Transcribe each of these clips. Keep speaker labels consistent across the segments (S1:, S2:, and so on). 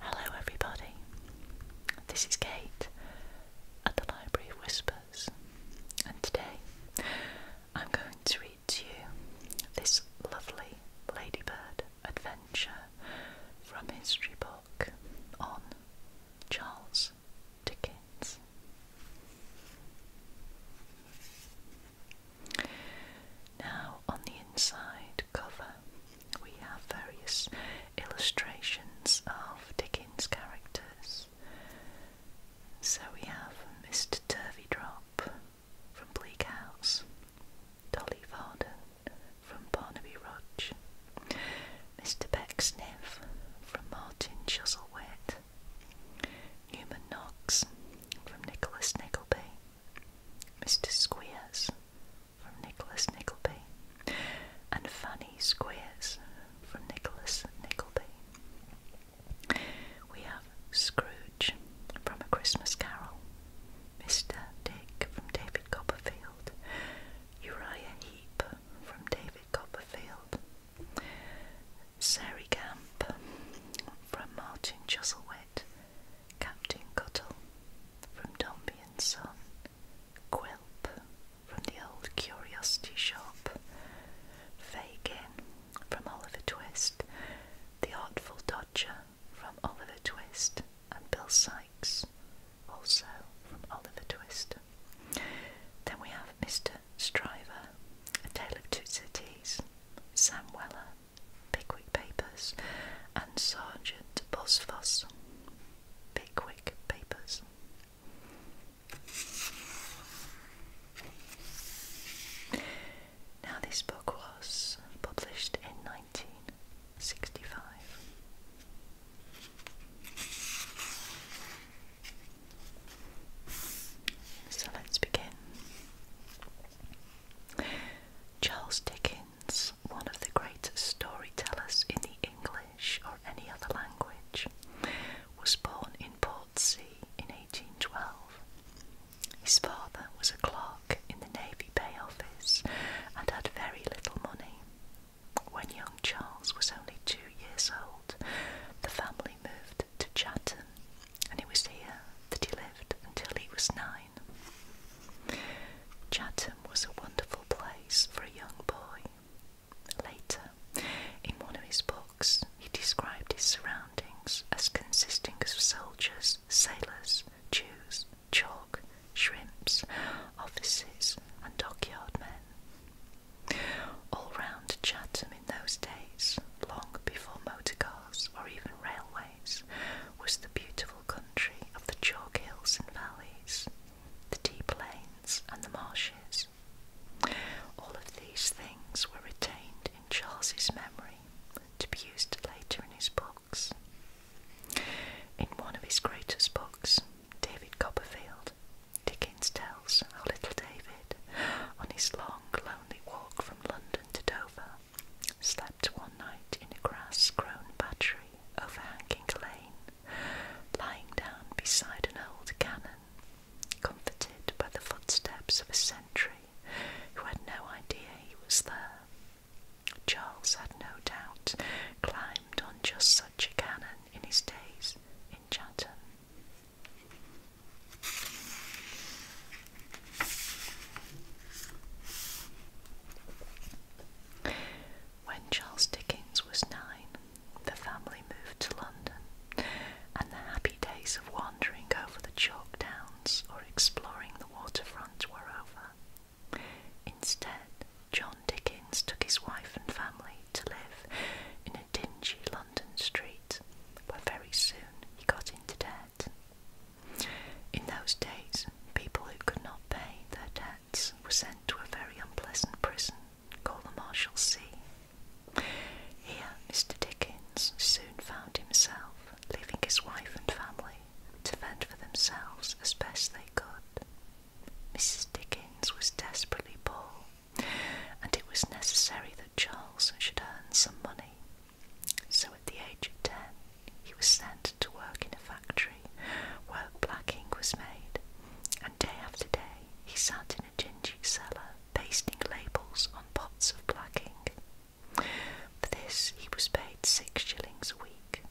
S1: Hello, everybody. This is Kate at the Library of Whispers, and today I'm going to read to you this lovely ladybird adventure from history book on Charles Dickens. Now, on the inside cover, we have various illustrations of Dickens characters. So we have Mr. Turveydrop from Bleak House, Dolly Varden from Barnaby Rudge, Mr. Pecksniff from Martin Chuzzlewit, Newman Knox from Nicholas Nickleby, Mr. Squeers from Nicholas Nickleby, and Fanny Squeers from Nicholas Nickleby. We have Scrooge from A Christmas Carol, Mr. Dick from David Copperfield, Uriah Heep from David Copperfield, Sari Gamp from Martin Chuzzlewit, Captain Cuttle from Dombey and Son, Quilp from the Old Curiosity Shop, Fagin from Oliver Twist, The Artful Dodger from Oliver Twist, and Bill Sykes, also from Oliver Twist. Then we have Mr. Stryver, A Tale of Two Cities, Sam Weller, Pickwick Papers, and Sergeant Bosfoss, Pickwick Papers. Now, this book was published in 1965. So let's begin. Charles Dickens, one of the greatest storytellers in the English or any other language, was born in Portsea in 1812. His father was a clerk in the Navy Pay Office and had very little money. When young Charles was only two years old, the family moved to Chatham, and it was here that he lived until he was nine. Chatham was a wonderful place for a young boy. Later, in one of his books, he described his surroundings as consisting of soldiers, sailors, Jews, chalk, shrimps, offices, and dockyard men. All round Chatham in those days, long before motor cars or even railways, was the beautiful country of the chalk hills and valleys, the deep plains and the marshes. All of these things were retained in Charles's memory to be used later in his books. In one of his greatest books, David Copperfield, Dickens tells how little David, on his long, lonely walk from London to Dover, slept one night in a grass-grown battery overhanging a lane, lying down beside an old cannon, comforted by the footsteps of a sentry who had no idea he was there. Charles had no doubt climbed on just such a cannon in his days in Chatham. When Charles Dickens was nine, the family moved to London, and the happy days of wandering over the chalk downs or exploring the waterfront were over. Instead, John Dickens took his wife and family to live in a dingy London street, where very soon he got into debt. In those days, people who could not pay their debts were sent to a very unpleasant prison called the Marshalsea. Here, Mr. Dickens soon found himself leaving his wife and family to fend for themselves as best they could. Mrs. Dickens was desperately poor, and it was necessary that Charles should earn some money so at the age of 10, he was sent to work in a factory where black ink was made, and day after day he sat in a dingy cellar pasting labels on pots of black ink. For this, he was paid six shillings a week.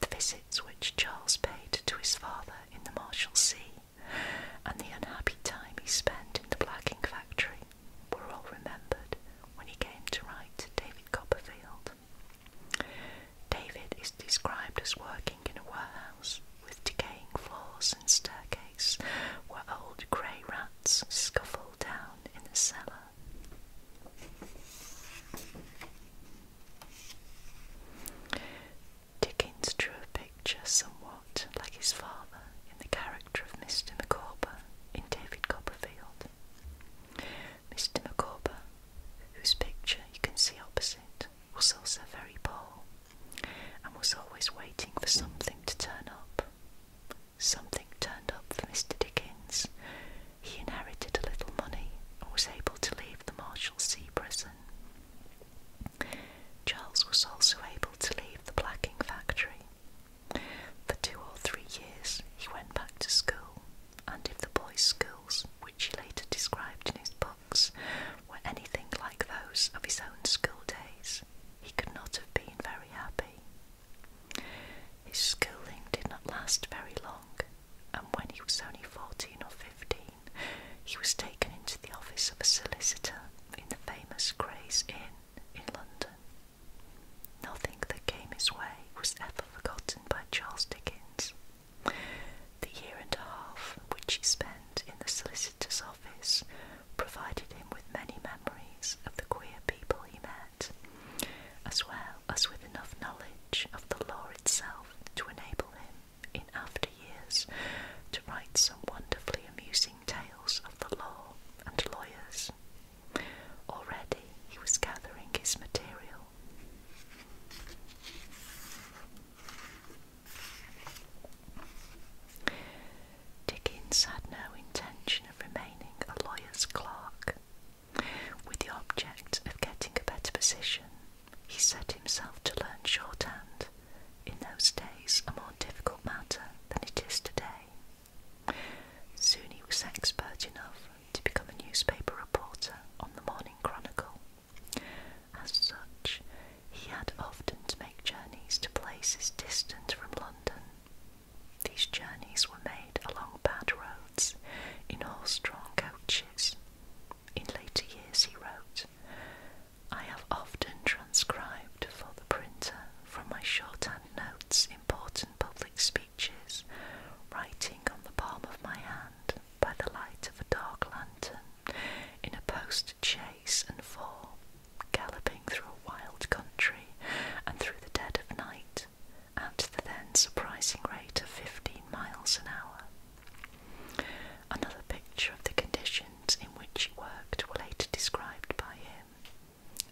S1: The visits which Charles paid to his father in the Marshal Sea, and the unhappy time he spent in the blacking factory, were all remembered when he came to write David Copperfield. David is described as working in a warehouse with decaying floors and staircase where old grey rats scuffle down in the cellar. Dickens drew a picture somewhat like his father in the character of Mr. Micawber in David Copperfield. Mr. Micawber, whose picture you can see opposite, was also very poor, and was always waiting for something to turn up. Something turned up for Mr. Dickens. He inherited a little money and was able to leave the Marshalsea prison. Charles was also able to leave the blacking factory for two or three years, he went back to school, and if the boys' schools, which he later described in his books, were anything like those of his own school days, he could not have been very happy. His schooling did not last very long, and when he was only fourteen or fifteen, he was taken into the office of a solicitor in the famous Gray's Inn in London. Nothing that came his way was ever forgotten by Charles Dickens. The year and a half which he spent in the solicitor's office provided him with many memories of the queer people he met, as well as with enough knowledge of the law itself to enable him, in after years, to write some wonderfully amusing tales of the law and lawyers. Already he was gathering his material. Dickens had no intention of remaining a lawyer's clerk. With the object of getting a better position, he set himself to learn shorthand, in those days a more difficult matter than it is today. Soon he was expert enough to become a newspaper reporter on the Morning Chronicle. As such, he had often to make journeys to places distant from London. These journeys were made along bad roads in horse-drawn coaches. In later years, he wrote, I have often transcribed for the printer from my shorthand notes important public speeches, writing on the palm of my hand by the light of a dark lantern in a post chaise and four, galloping through a wild country and through the dead of night at the then surprising rate of 15 miles an hour. Another picture of the conditions in which he worked were later described by him.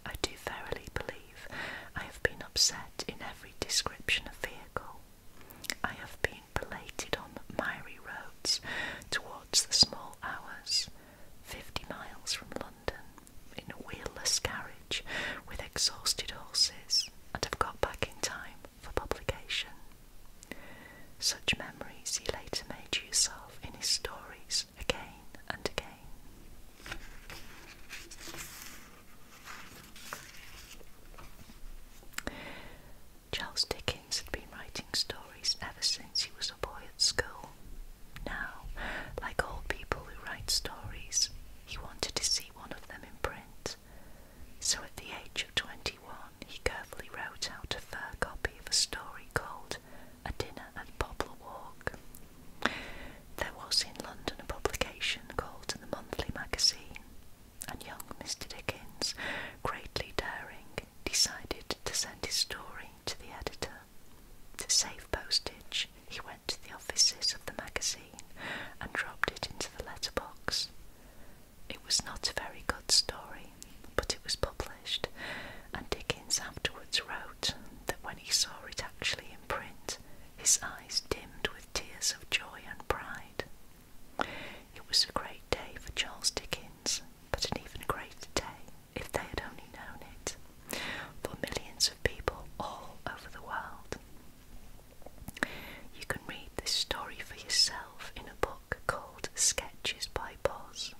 S1: I do verily believe I have been upset in every description of vehicle. I have been belated on miry roads towards the small hours, fifty miles from London, in a wheelless carriage with exhausted horses, and have got back in time for publication. Such memories he later made use of in his stories again and again. Charles Dickens had been writing stories ever since he was a boy at school. Now, like all people who write stories, he wanted to see one of them in print. So at the age of 21, he carefully wrote out a fair copy of a story called A Dinner at Poplar Walk there was in London a publication called The Monthly Magazine, and young Mr. Dickens, greatly daring, decided to send his story to the editor. To save postage, he went to the offices of the magazine and dropped it into the letterbox. It was not a very good story, but it was published, and Dickens afterwards wrote that when he saw it actually in print, his eyes dimmed with tears of joy and pride. It was a great day for Charles Dickens, but an even greater day, if they had only known it, for millions of people all over the world. You can read this story for yourself in a book called Sketches by Boz.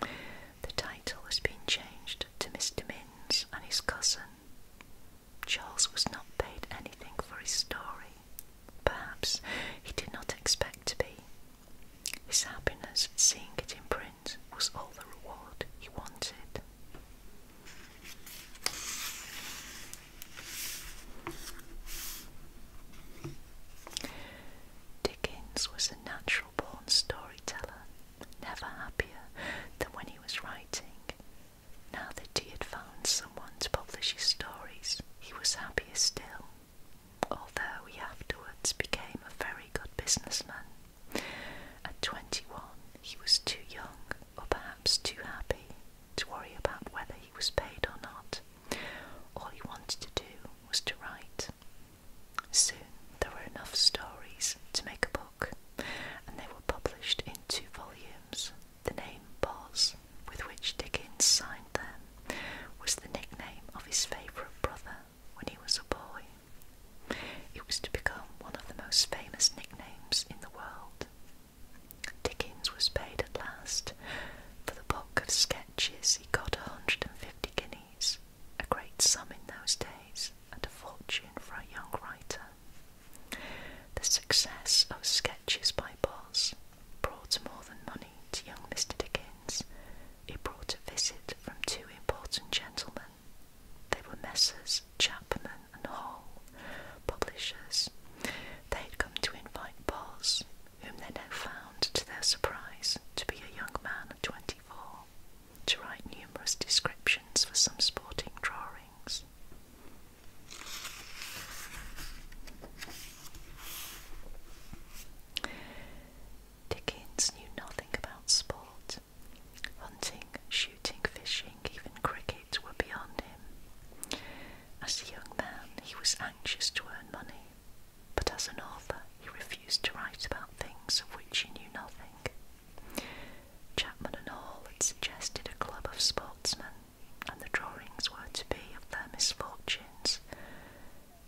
S1: The title has been changed to Mr. Minns and his cousin Charles was not paid anything for his story. Perhaps he did not expect to be. His happiness seeing it in print was all the reward he wanted. Dickens was a natural born storyteller, never happier than when he was writing, now that he had found someone to publish his stories, he was happier still, although he afterwards became a very good businessman. At 21, he was too young, or perhaps too happy, to worry about whether he was paid or not. All he wanted to do was to write. Soon there were enough stories to make a book and they were published in two volumes. The name Boz, with which Dickens signed them, was the nickname of his favourite brother when he was a boy. It was to become one of the most famous nicknames in the world. Dickens was paid at last for the book of sketches. He got 150 guineas, a great sum in those days, and a fortune for a young writer. The success of Sketches by Boz brought more than money to young Mr. Dickens. It brought a visit from two important gentlemen. They were Messrs. Chapman and Hall, publishers. They had come to invite Boz, whom they now found, to their surprise, to be a young man of twenty four, to write numerous descriptions for some sporting drawings. Dickens knew nothing about sport. Hunting, shooting, fishing, even cricket were beyond him. As a young man, he was anxious to earn money, but as an author, he refused to write about things of which he knew nothing. Chapman and Hall had suggested a club of sportsmen, and the drawings were to be of their misfortunes.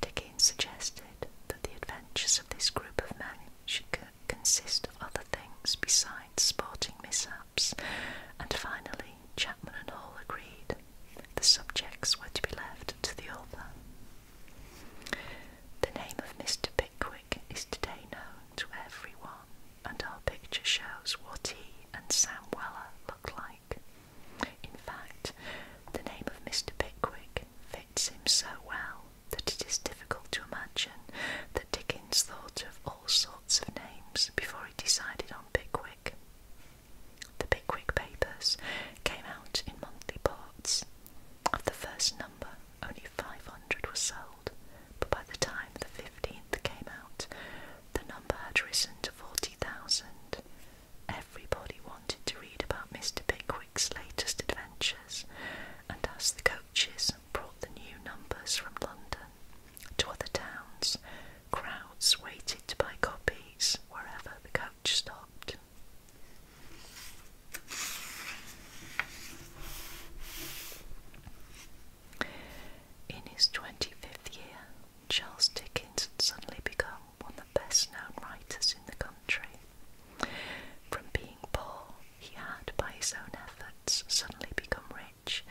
S1: Dickens suggested that the adventures of this group of men should consist of other things besides sporting mishaps, and finally Chapman and Hall agreed. The subjects were to be left to the author. The name of Mr. Pickwick is today known to everyone, and our picture shows what he and Sam Weller look like. In fact, the name of Mr. Pickwick fits him so well that it is difficult to imagine that Dickens thought of all sorts of names before he decided on Pickwick. The Pickwick Papers came out in monthly parts. Of the first number, only 500 were sold but by the time the 15th came out, the number had risen to 40,000. Everybody wanted to read about Mr. Pickwick's latest adventures, and as the coaches brought the new numbers from London to other towns, crowds waited to buy copies wherever the coach stopped. In his 25th year, Charles Dickens had suddenly become one of the best known writers in the country. From being poor, he had, by his own efforts, suddenly become rich,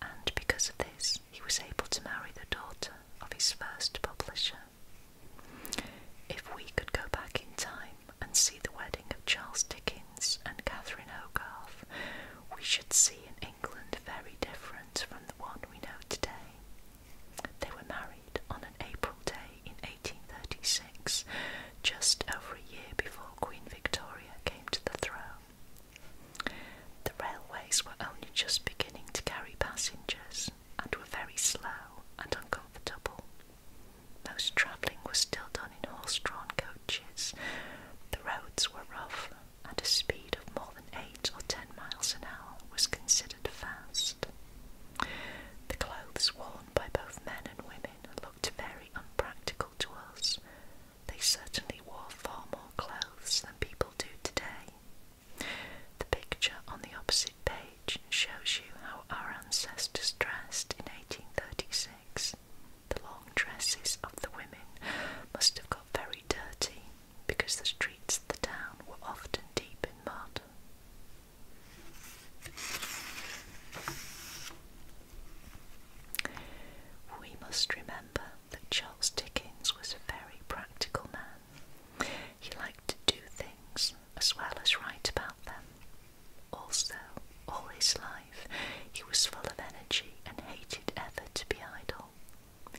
S1: and because of this, he was able to marry the daughter of his first publisher. If we could go back in time and see the wedding of Charles Dickens, and Catherine Hogarth, we should see an England very different from the one we know today. They were married on an April day in 1836, just over a year before Queen Victoria came to the throne. The railways were only just beginning to carry passengers and were very slow and uncomfortable. Most travelling was still done in horse drawn coaches. The roads were rough, and a speed of more than eight or ten miles an hour was considered fast. The clothes worn by both men and women looked very unpractical to us. They certainly wore far more clothes than people do today. The picture on the opposite page shows you how our ancestors dressed in 1836. The long dresses of the women must have got very dirty because the streets of the town were often deep in mud. We must remember that Charles Dickens was a very practical man. He liked to do things as well as write about them. Also, all his life he was full of energy and hated ever to be idle.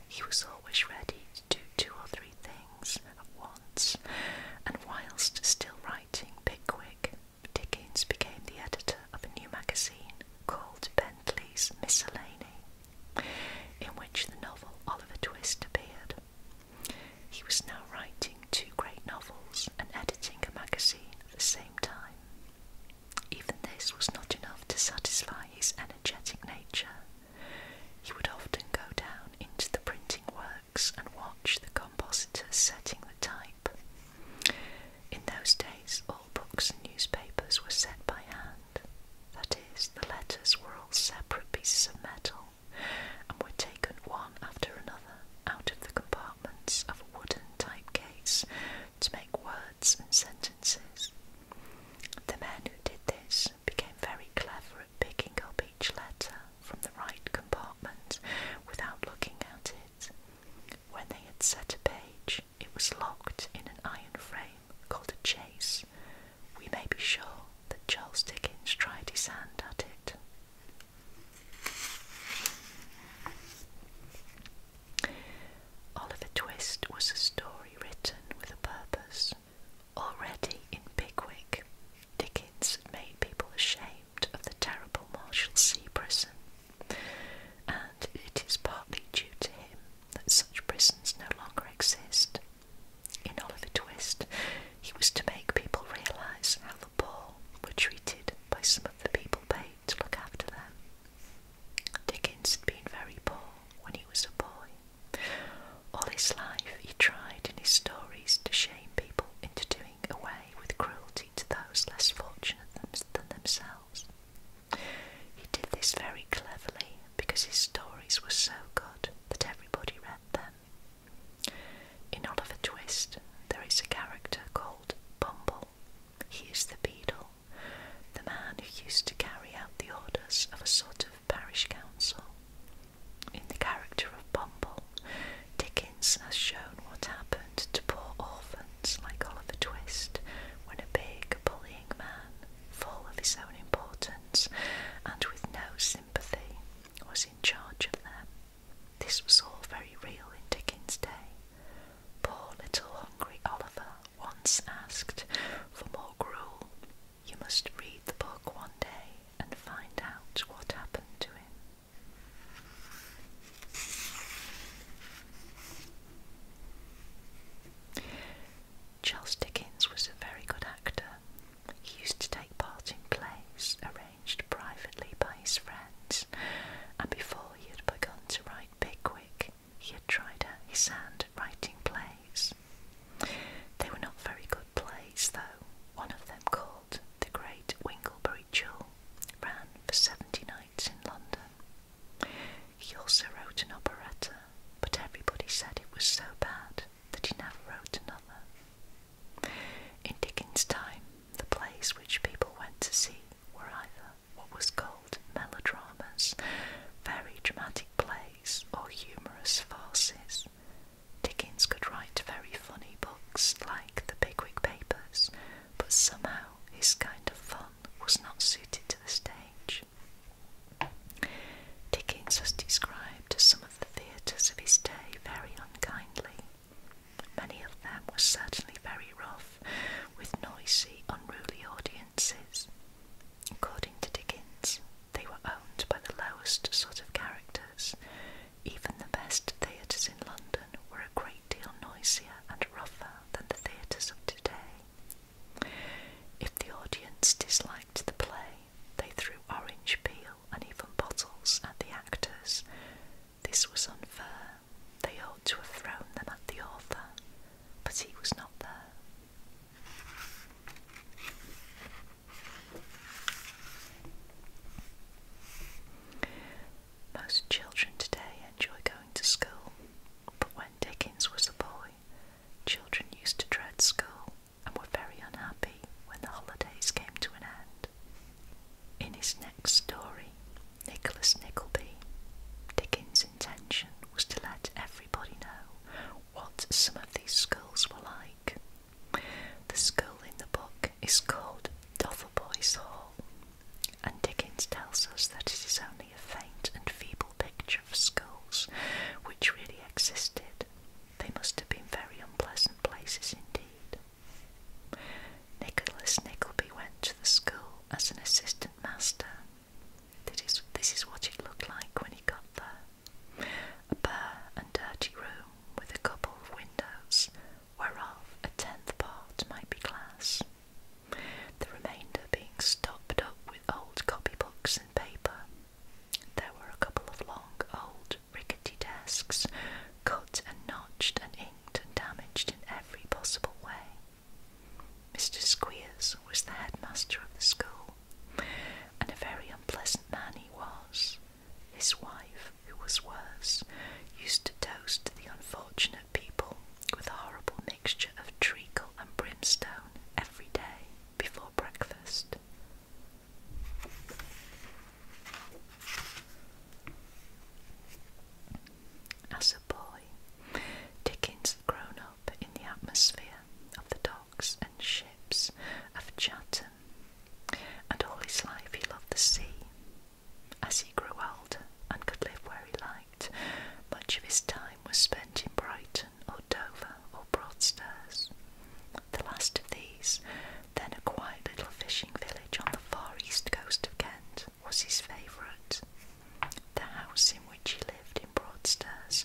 S1: He was always ready to do two or three things at once, and whilst still writing Pickwick, Dickens became the editor of a new magazine called Bentley's Miscellany, in which the novel Oliver Twist appeared. He was now writing two great novels and editing a magazine at the same time. Even this was not enough to satisfy his energetic nature. He would often go down into the printing works and watch the compositors setting the type. In those days, all books and newspapers were set by hand. That is, the letters were all separate pieces of metal and were taken one after another out of the compartments of a wooden type case to make words and sentences. The man who did this became very clever at picking up each letter from the right compartment without looking at it. When they had set a page, it was locked in an iron frame called a chase. We may be sure that Charles Dickens tried his hand at it. Oliver Twist was a story written with a purpose. Already in Pickwick, Dickens had made people ashamed of the terrible Marshalsea prison, and it is partly due to him that such prisons no longer exist. In Oliver Twist, he was to make people realise how the poor were treated by some of the people paid to look after them. Dickens had been very poor when he was a boy. All his life he tried in his stories to shame people into doing away with cruelty to those less fortunate than themselves. He did this very cleverly because his stories were so good that everybody read them. In Oliver Twist, there is a character called Bumble. He is the beadle the man who used to carry out the orders of a sort of parish council. In the character of Bumble, Dickens has shown what happened to poor orphans like Oliver Twist when a big, bullying man, full of his own importance and with no sympathy, was in charge of them. This was all very real in Dickens' day, Poor little hungry Oliver once asked for more gruel. You must read the book one day and find out what happened to him. Charles Dickens was a very good actor. He used to take part in plays arranged privately by his friends, and before he had begun to write Lloyd he had tried out his hand at writing plays. They were not very good plays, though. One of them, called The Great Winglebury Jewel, ran for seventy nights in London. He also wrote an operetta, but everybody said it was so bad that he never wrote another. In Dickens' time, the place which people went to see were either what was called melodramas, very dramatic plays, or humorous farces. Dickens could write very funny books like The Pickwick Papers, but somehow his kind of fun was not suited to the stage. Dickens has described some of the theatres of his day very unkindly. Many of them were certainly very rough, with noisy, unruly audiences. According to Dickens, they were owned by the lowest sort of characters. Even the best theatres in London were a great deal noisier and rougher than the theatres of today. If the audience disliked the play, they threw orange peel and even bottles at the actors. This was unfair they ought to have thrown them at the author, but he was not there. Most children today enjoy going to school, but when Dickens was a boy, children used to dread school and were very unhappy when the holidays came to an end. In his next story, Nicholas Nickleby, Dickens' intention was to let everybody know what some of these schools were like. The school in the book is called Dotheboys Hall, and Dickens tells us that it is only a faint and feeble picture of schools, which really existed. They must have been very unpleasant places indeed. Nicholas Nickleby went to the school as an assistant Master, This is, this is what it looked like when he got there a bare and dirty room with a couple of windows, whereof a tenth part might be glass, the remainder being stopped up with old copybooks and paper. There were a couple of long, old, rickety desks, cut and notched and inked and damaged in every possible way. Mr. Squeers was the headmaster of the school, and a very unpleasant man he was. His wife, who was worse, used to toast the unfortunate people with a horrible mixture of treacle and brimstone every day before breakfast as a boy. Dickens had grown up in the atmosphere of the docks and ships of Chatham, and all his life he loved the sea. As he grew older and could live where he liked, much of his time was spent in Brighton or Dover or Broadstairs. The last of these, then a quiet little fishing village on the far east coast of Kent, was his favourite. The house in which he lived in Broadstairs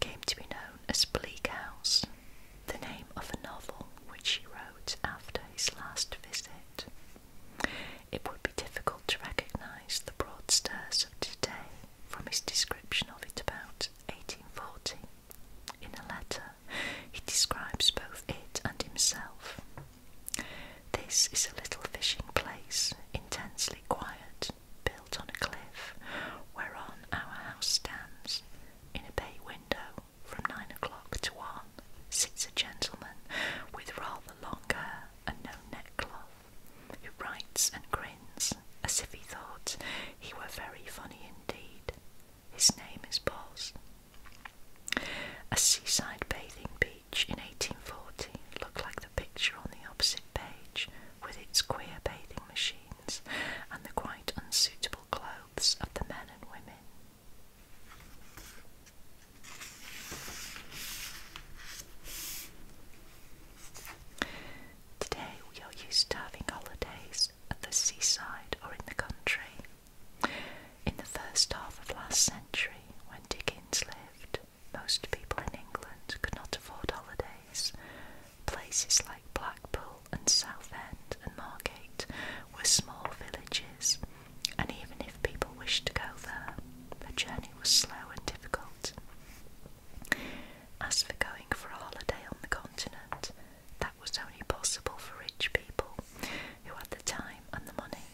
S1: came to be known as Bleak House, the name of a novel which he wrote after his last visit. It would be difficult to recognise the Broadstairs of today from his description of it about 1840. In a letter, he describes both it and himself. This is a little fishing place, intensely quiet, built on a cliff whereon our house stands. In a bay window from nine o'clock to one sits a gentleman with rather long hair and no neckcloth, who writes and grins as if he thought he were very funny indeed. His name is Boz. A seaside bathing beach Beach in 1840 looked like the picture on the opposite page with its queer bathing machines and the quite unsuitable clothes of the men and women. Today we are used to having holidays at the seaside or in the country. In the first half of last century, when Dickens lived, most people in England could not afford holidays. Places like Blackpool and Southend and Margate were small villages, and even if people wished to go there, the journey was slow and difficult. As for going for a holiday on the continent, that was only possible for rich people who had the time and the money.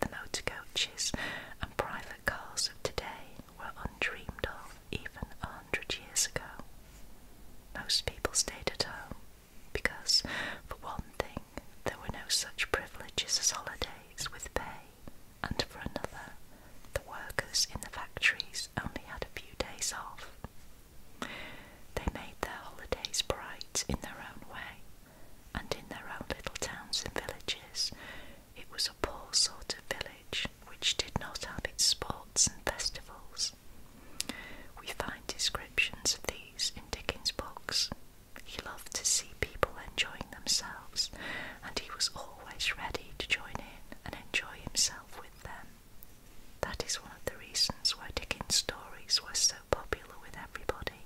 S1: The motor coaches and private cars of today were undreamed of even a hundred years ago. Most people stayed at home because, for one thing, there were no such privileges as holidays with pay, and for another, the workers in the factories only had a few days off. They made their holidays bright in their own way, and in their own little towns and villages. It was a poor sort of village which did not have its sports and festivals. We find descriptions of these in Dickens' books. He loved to see people enjoying themselves, and he was always ready to join in and enjoy himself with them. That is one of the reasons why Dickens' stories were so popular with everybody.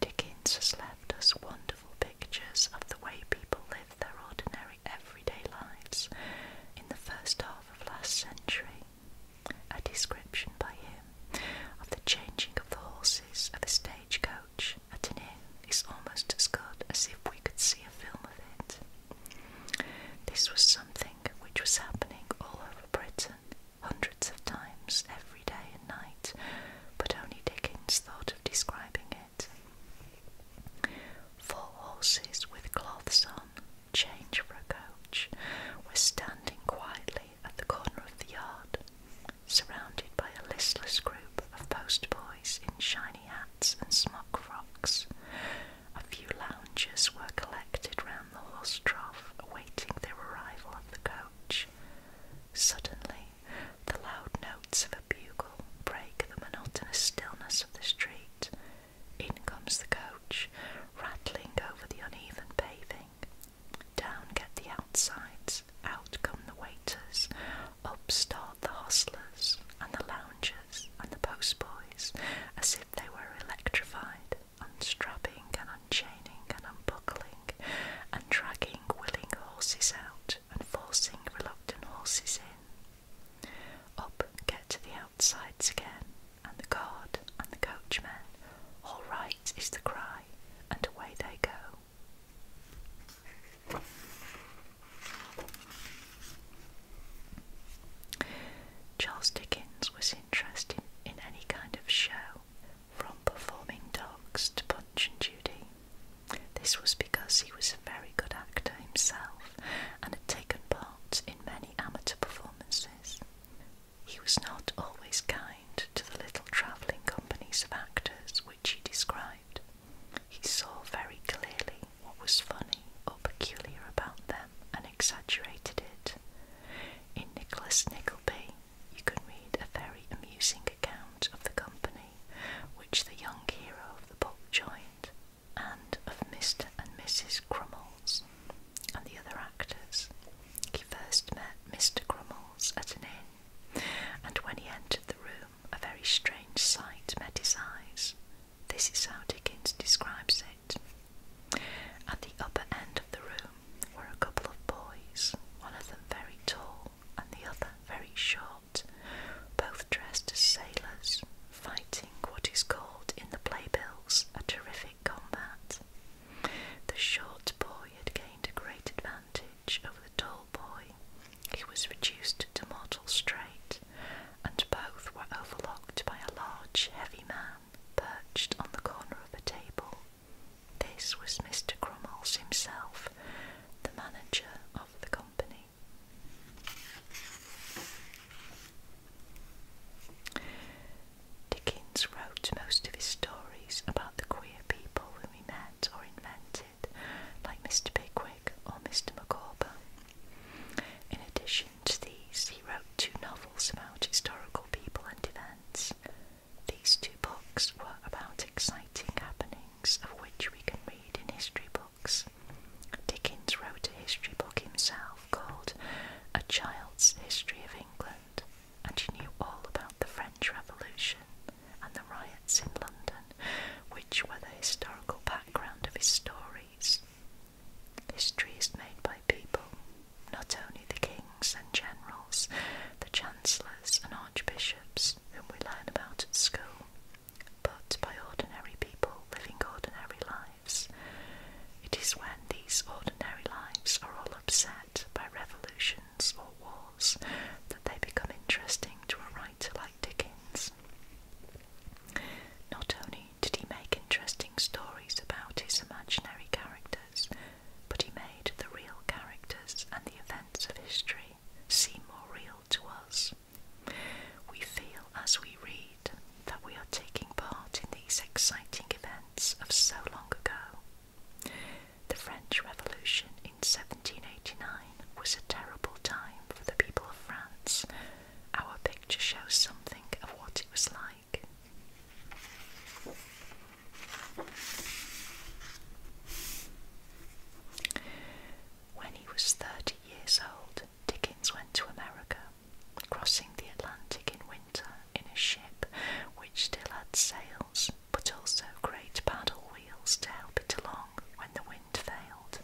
S1: Dickens has left us wonderful pictures of the way people live their ordinary everyday lives in the first half of last century. A description by him of the changing of the horses of a stagecoach at an inn is almost as good as if we could see a film of it. This was something which was happening all over Britain hundreds of times every day and night, but only Dickens thought of describing it. Four horses with cloths on, change for a coach, were standing quietly at the corner of the yard, surrounded by a listless group of postboys in shiny hats and smock frocks, a few loungers were collected round the horse trough, awaiting the arrival of the coach. Suddenly, the loud notes of a bugle break the monotonous stillness of the street. In comes the coach, rattling over the uneven paving. Down get the outsides, out come the waiters, up start the hostlers, and the loungers, and the postboys, as if they were electrified unstrapping and unchaining and unbuckling, and dragging willing horses out and forcing reluctant horses in. Up get to the outsides again, and the guard and the coachman. All right is the cry, and away they go. Charles Dickens was interested in any kind of show, from performing dogs to Punch and Judy. This was because he was a very good actor himself and had taken part in many amateur performances. He was not always kind to the little travelling companies of actors which he described. He saw very clearly what was funny or peculiar about them and exaggerated it. In Nicholas Nickleby, you can read a very amusing account of the company which the young hero of the book joined, and of Mr. and Mrs. Crummles and the other actors. He first met Mr. Crummles at an inn, and when he entered the room, a very strange sight met his eyes. This is how Dickens describes it. At the upper end of the room were a couple of boys, one of them very tall and the other very short, both dressed as sailors, fighting what is called in the playbills a terrific combat. The short boy had gained a great advantage over the tall boy. He was reduced to mortal strait, and both were overlooked by a large, heavy man perched on the corner of a table. This was Mr. Crummles himself, the manager of the company. Dickens wrote most of his stories about the queer people whom he met or invented, like Mr. Pickwick or Mr. Micawber. In addition to these, he wrote two novels about historical people and events. These two books were about exciting happenings of which we can read in history books. Dickens wrote a history book himself called A Child's History of England, and he knew all about the French Revolution and the riots in London, which were the historical background of his stories. History is made by people, not only the kings and generals, the chancellors and archbishops, whom we learn about at school, but by ordinary people living ordinary lives. It is when these ordinary lives are all upset by revolutions or wars that they become interesting to a writer like Dickens. Not only did he make interesting stories about his imaginary characters, but he made the real characters and the events of history seem more real to us. We feel as we read that we are taking part in these exciting events of so long ago. The French Revolution in 1789 was a terrible time for the people of France. Our picture shows something of what it was like. When he was 30 years old, Dickens went to America, crossing the Atlantic in winter in a ship which still had sails but also great paddle wheels to help it along when the wind failed.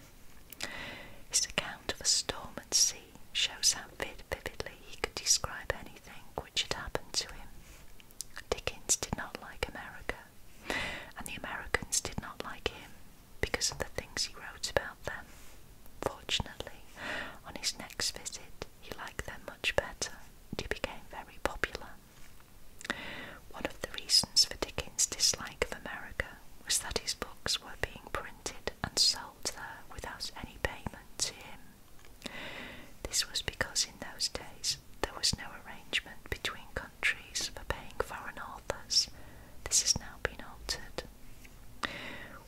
S1: His account of a storm at sea story shows how vividly he could describe anything which had happened to him. Dickens did not like America, and the Americans did not like him because of the things he wrote about them. Fortunately, on his next visit, he liked them much better, and he became very popular. One of the reasons for Dickens' dislike of America was that his books were being printed and sold there without any payment to him. This was because in those days there was no arrangement between countries for paying foreign authors. This has now been altered.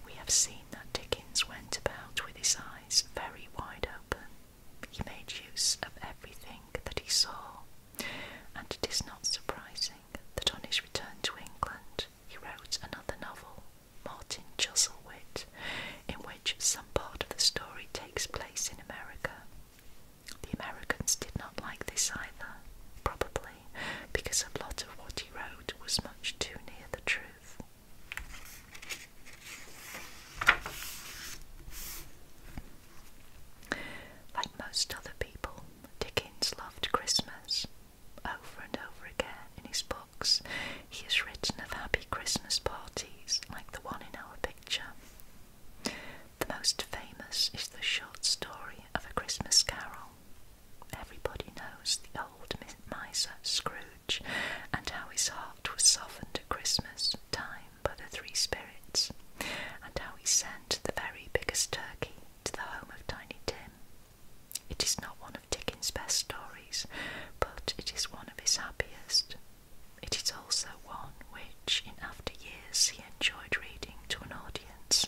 S1: We have seen that Dickens went about with his eyes very wide open. He made use of everything that he saw, and it is not surprising that on his return to England he wrote another novel, Martin Chuzzlewit, in which some part of the story takes place in America. The Americans did not like this either, probably because a lot of what he wrote was much too near the truth. Like most other people, Dickens loved Christmas. Over and over again in his book, he has written of happy Christmas parties like the one in our picture. The most famous is the short story of A Christmas Carol. Everybody knows the old miser Scrooge and how his heart was softened at Christmas time by the three spirits, and how he sent the very biggest turkey to the home of Tiny Tim. It is not one of Dickens' best stories but it is one of his happiest. It is also one which, in after years, he enjoyed reading to an audience.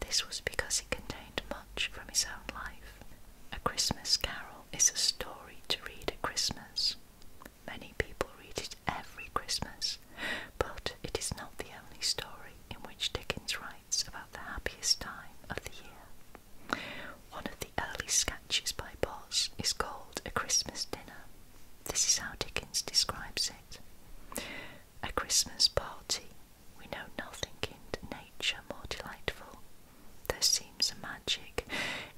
S1: This was because it contained much from his own life. A Christmas Carol is a story to read at Christmas. Many people read it every Christmas, but it is not the only story in which Dickens writes about the happiest time of the year. One of the early sketches by Boz is called A Christmas Dinner. This is how Dickens describes it. A Christmas party. We know nothing in nature more delightful. There seems a magic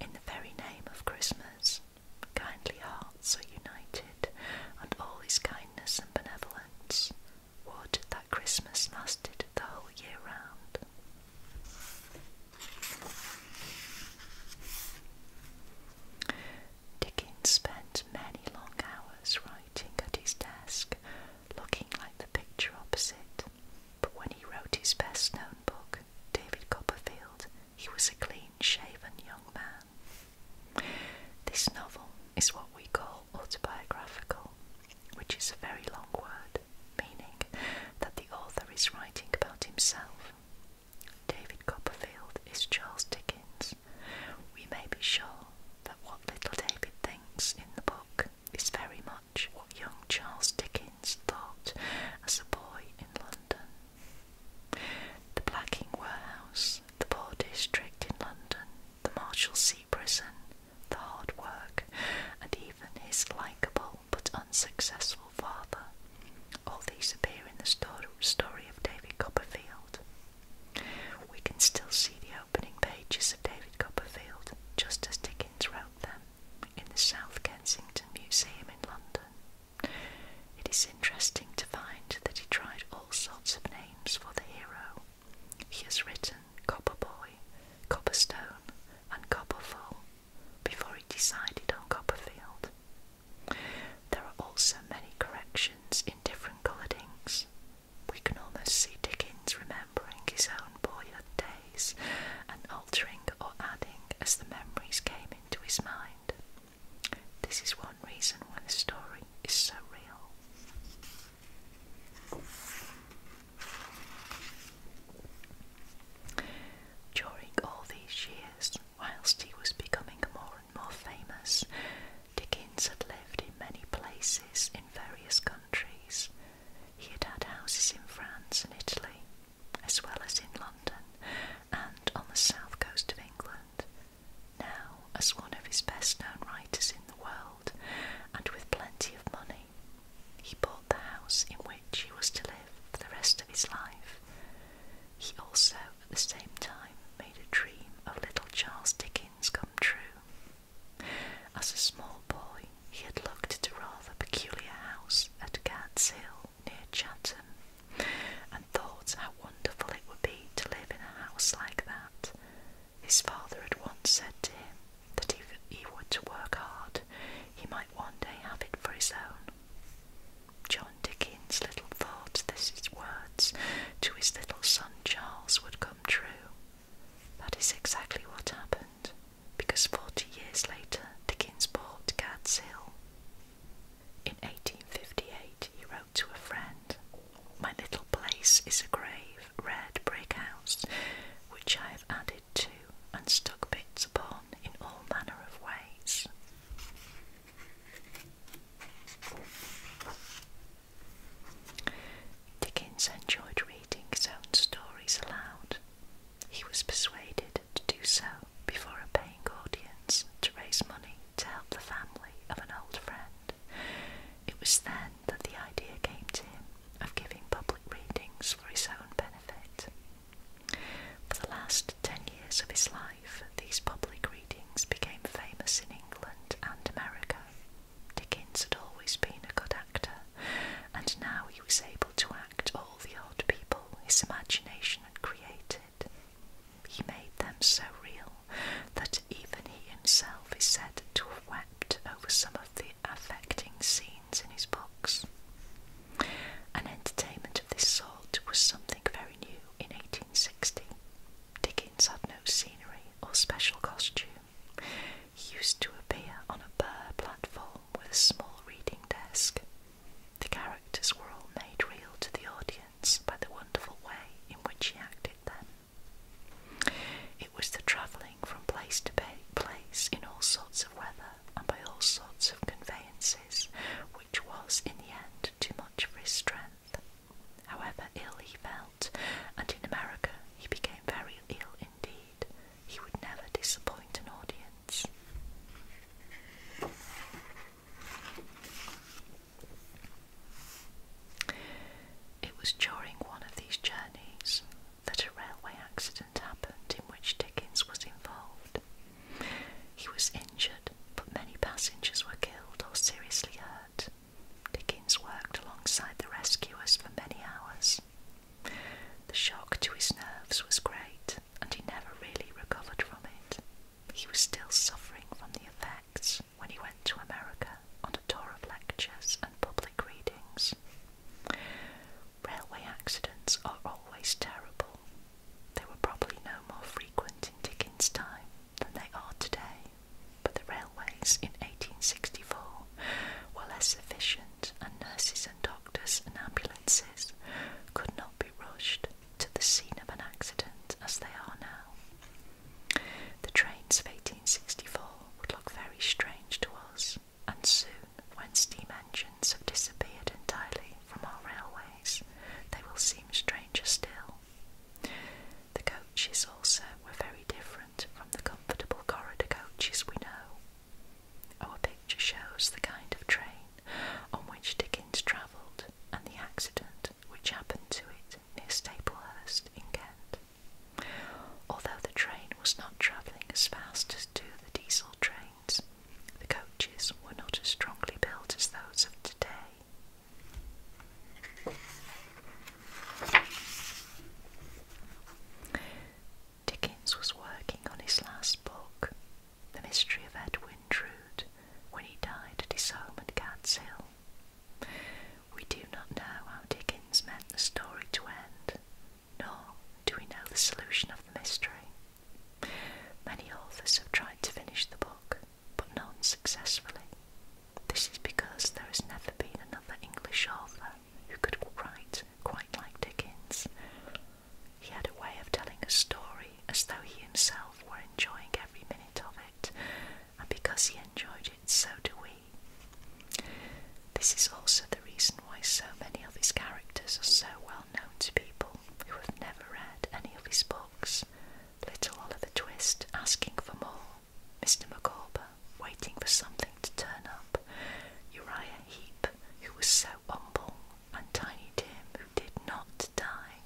S1: in the very name of Christmas. Kindly hearts are united, and all his kindness and benevolence. Would that Christmas lasted the whole year round. Dickens spent many long hours writing at his desk, looking like the picture opposite. But when he wrote his best known book, David Copperfield, he was a clean shaven young man. This novel is what we call autobiographical, which is a very long word meaning that the author is writing about himself. David Copperfield is Charles Dickens. We may be sure that what little David thinks in the book is very much what young Charles Dickens thought as a boy in London. The Blacking Warehouse, the Poor District in London, the Marshalsea Prison, the hard work, and even his likeable but unsuccessful father. All these appear in the story of David Copperfield. We can still see the opening pages of David Copperfield just as Dickens wrote them in the South Kensington Museum in London. It is interesting to find that he tried all sorts of names for the hero. He has written Copperboy, Copperstone, and Copperfull, before he decided on Copperfield. There are also many corrections in different coloured inks. We can almost see Dickens remembering his own boyhood days and altering or adding as the memories came into his mind. This is one reason why the story is so real. During all these years, whilst he was becoming more and more famous, Dickens had lived in many places in various countries. He had had houses in France and Italy, as well as in London and on the south coast of England. Now, as one of his best known writers in the world, and with plenty of money, he bought the house in which he was to live for the rest of his life. He also, at the same time, made a dream of little Charles Dickens come true. As a small boy, he had looked at a rather peculiar house at Gad's Hill near Chatham and thought how wonderful it would be to live in a house like that. His father had once said to him, that if he were to work hard, he might one day have it for his own. John Dickens little thoughts, that his words to his little son Charles would come true. That is exactly what happened, because forty years later Dickens bought Gad's Hill. In 1858 he wrote to a friend, My little place is a grave, red brick house, which I have added to and stuck bits upon in all manner of ways. Dickens enjoyed reading his own stories aloud. He was persuaded to do so before a paying audience to raise money to help the family of an old friend. It was then that the idea came to him of giving public readings for his own benefit. For the last ten years of his life, these public readings became famous in England and America. Dickens had always been a good actor, and now he was able to act all the odd people his imagination had created. He made them so real that even he himself is said to have wept over some of the affecting scenes in his books. An entertainment of this sort was something very new in 1860. Dickens had no scenery or special costume. He used to appear on a bare platform with a small reading desk. The characters were all made real to the audience by the wonderful way in which he acted them. It was the travelling from place to place in all sorts of weather and by all sorts of conveyances, which was in the end too much for his strength. However ill he felt, and in America he became very ill indeed, he would never disappoint an audience. It was during one of these journeys that a railway accident happened in which Dickens was involved. He was injured, but many passengers were killed or seriously hurt. Dickens worked alongside the rescuers for many hours. The shock to his nerves was great, and he never really recovered from it. He was still suffering from the effects when he went to America on a tour of lectures and public readings. Railway accidents are always terrible. They were probably no more frequent in Dickens' time than they are today, but the railways in 1864 were less efficient, and nurses and doctors and ambulances could not be rushed to the scene of an accident as they are now. The trains of 1864 would look very strange to us and soon, when steam engines have disappeared entirely from our railways, they will seem stranger still. The coaches also were very different from the comfortable corridor coaches we know. Our picture shows the kind of train on which Dickens travelled and the accident which happened to it near Staplehurst in Kent. Although the train was not travelling as fast as do the diesel trains, the coaches were not as strongly built as those of today. Dickens was working on his last book, The Mystery of Edwin Drood, when he died at his home at Gad's Hill. We do not know how Dickens meant the story to end, nor do we know the solution of the mystery. Many authors have tried to finish the book, but none successfully. This is because there has never been another English author who could write quite like Dickens. He had a way of telling a story as though he himself were enjoying every minute of it, and because he enjoyed it, so do we. This is also the the reason why so many of his characters are so well known to people who have never read any of his books. Little Oliver Twist asking for more, Mr. Micawber waiting for something to turn up, Uriah Heep, who was so humble, and Tiny Tim, who did not die.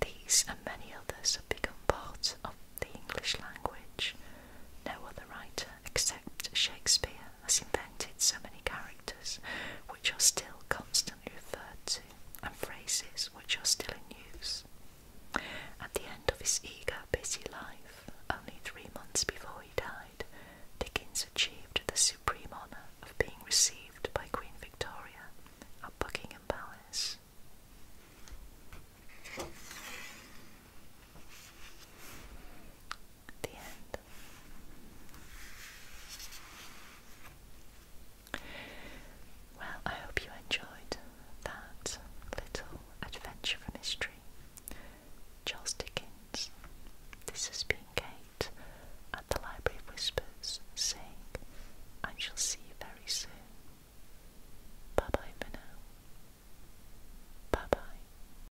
S1: These and many others have become part of the English language. No other writer except Shakespeare has invented so many characters which are still constantly referred to and phrases which are still in use. At the end of his eager, busy life, only three months before he died, Dickens achieved the supreme honour of being received by Queen Victoria at Buckingham Palace. The end. Well, I hope you enjoyed that little adventure from history. Charles Dickens. This has been Kate at the Library of Whispers saying, I shall see you very soon. Bye bye for now. Bye bye.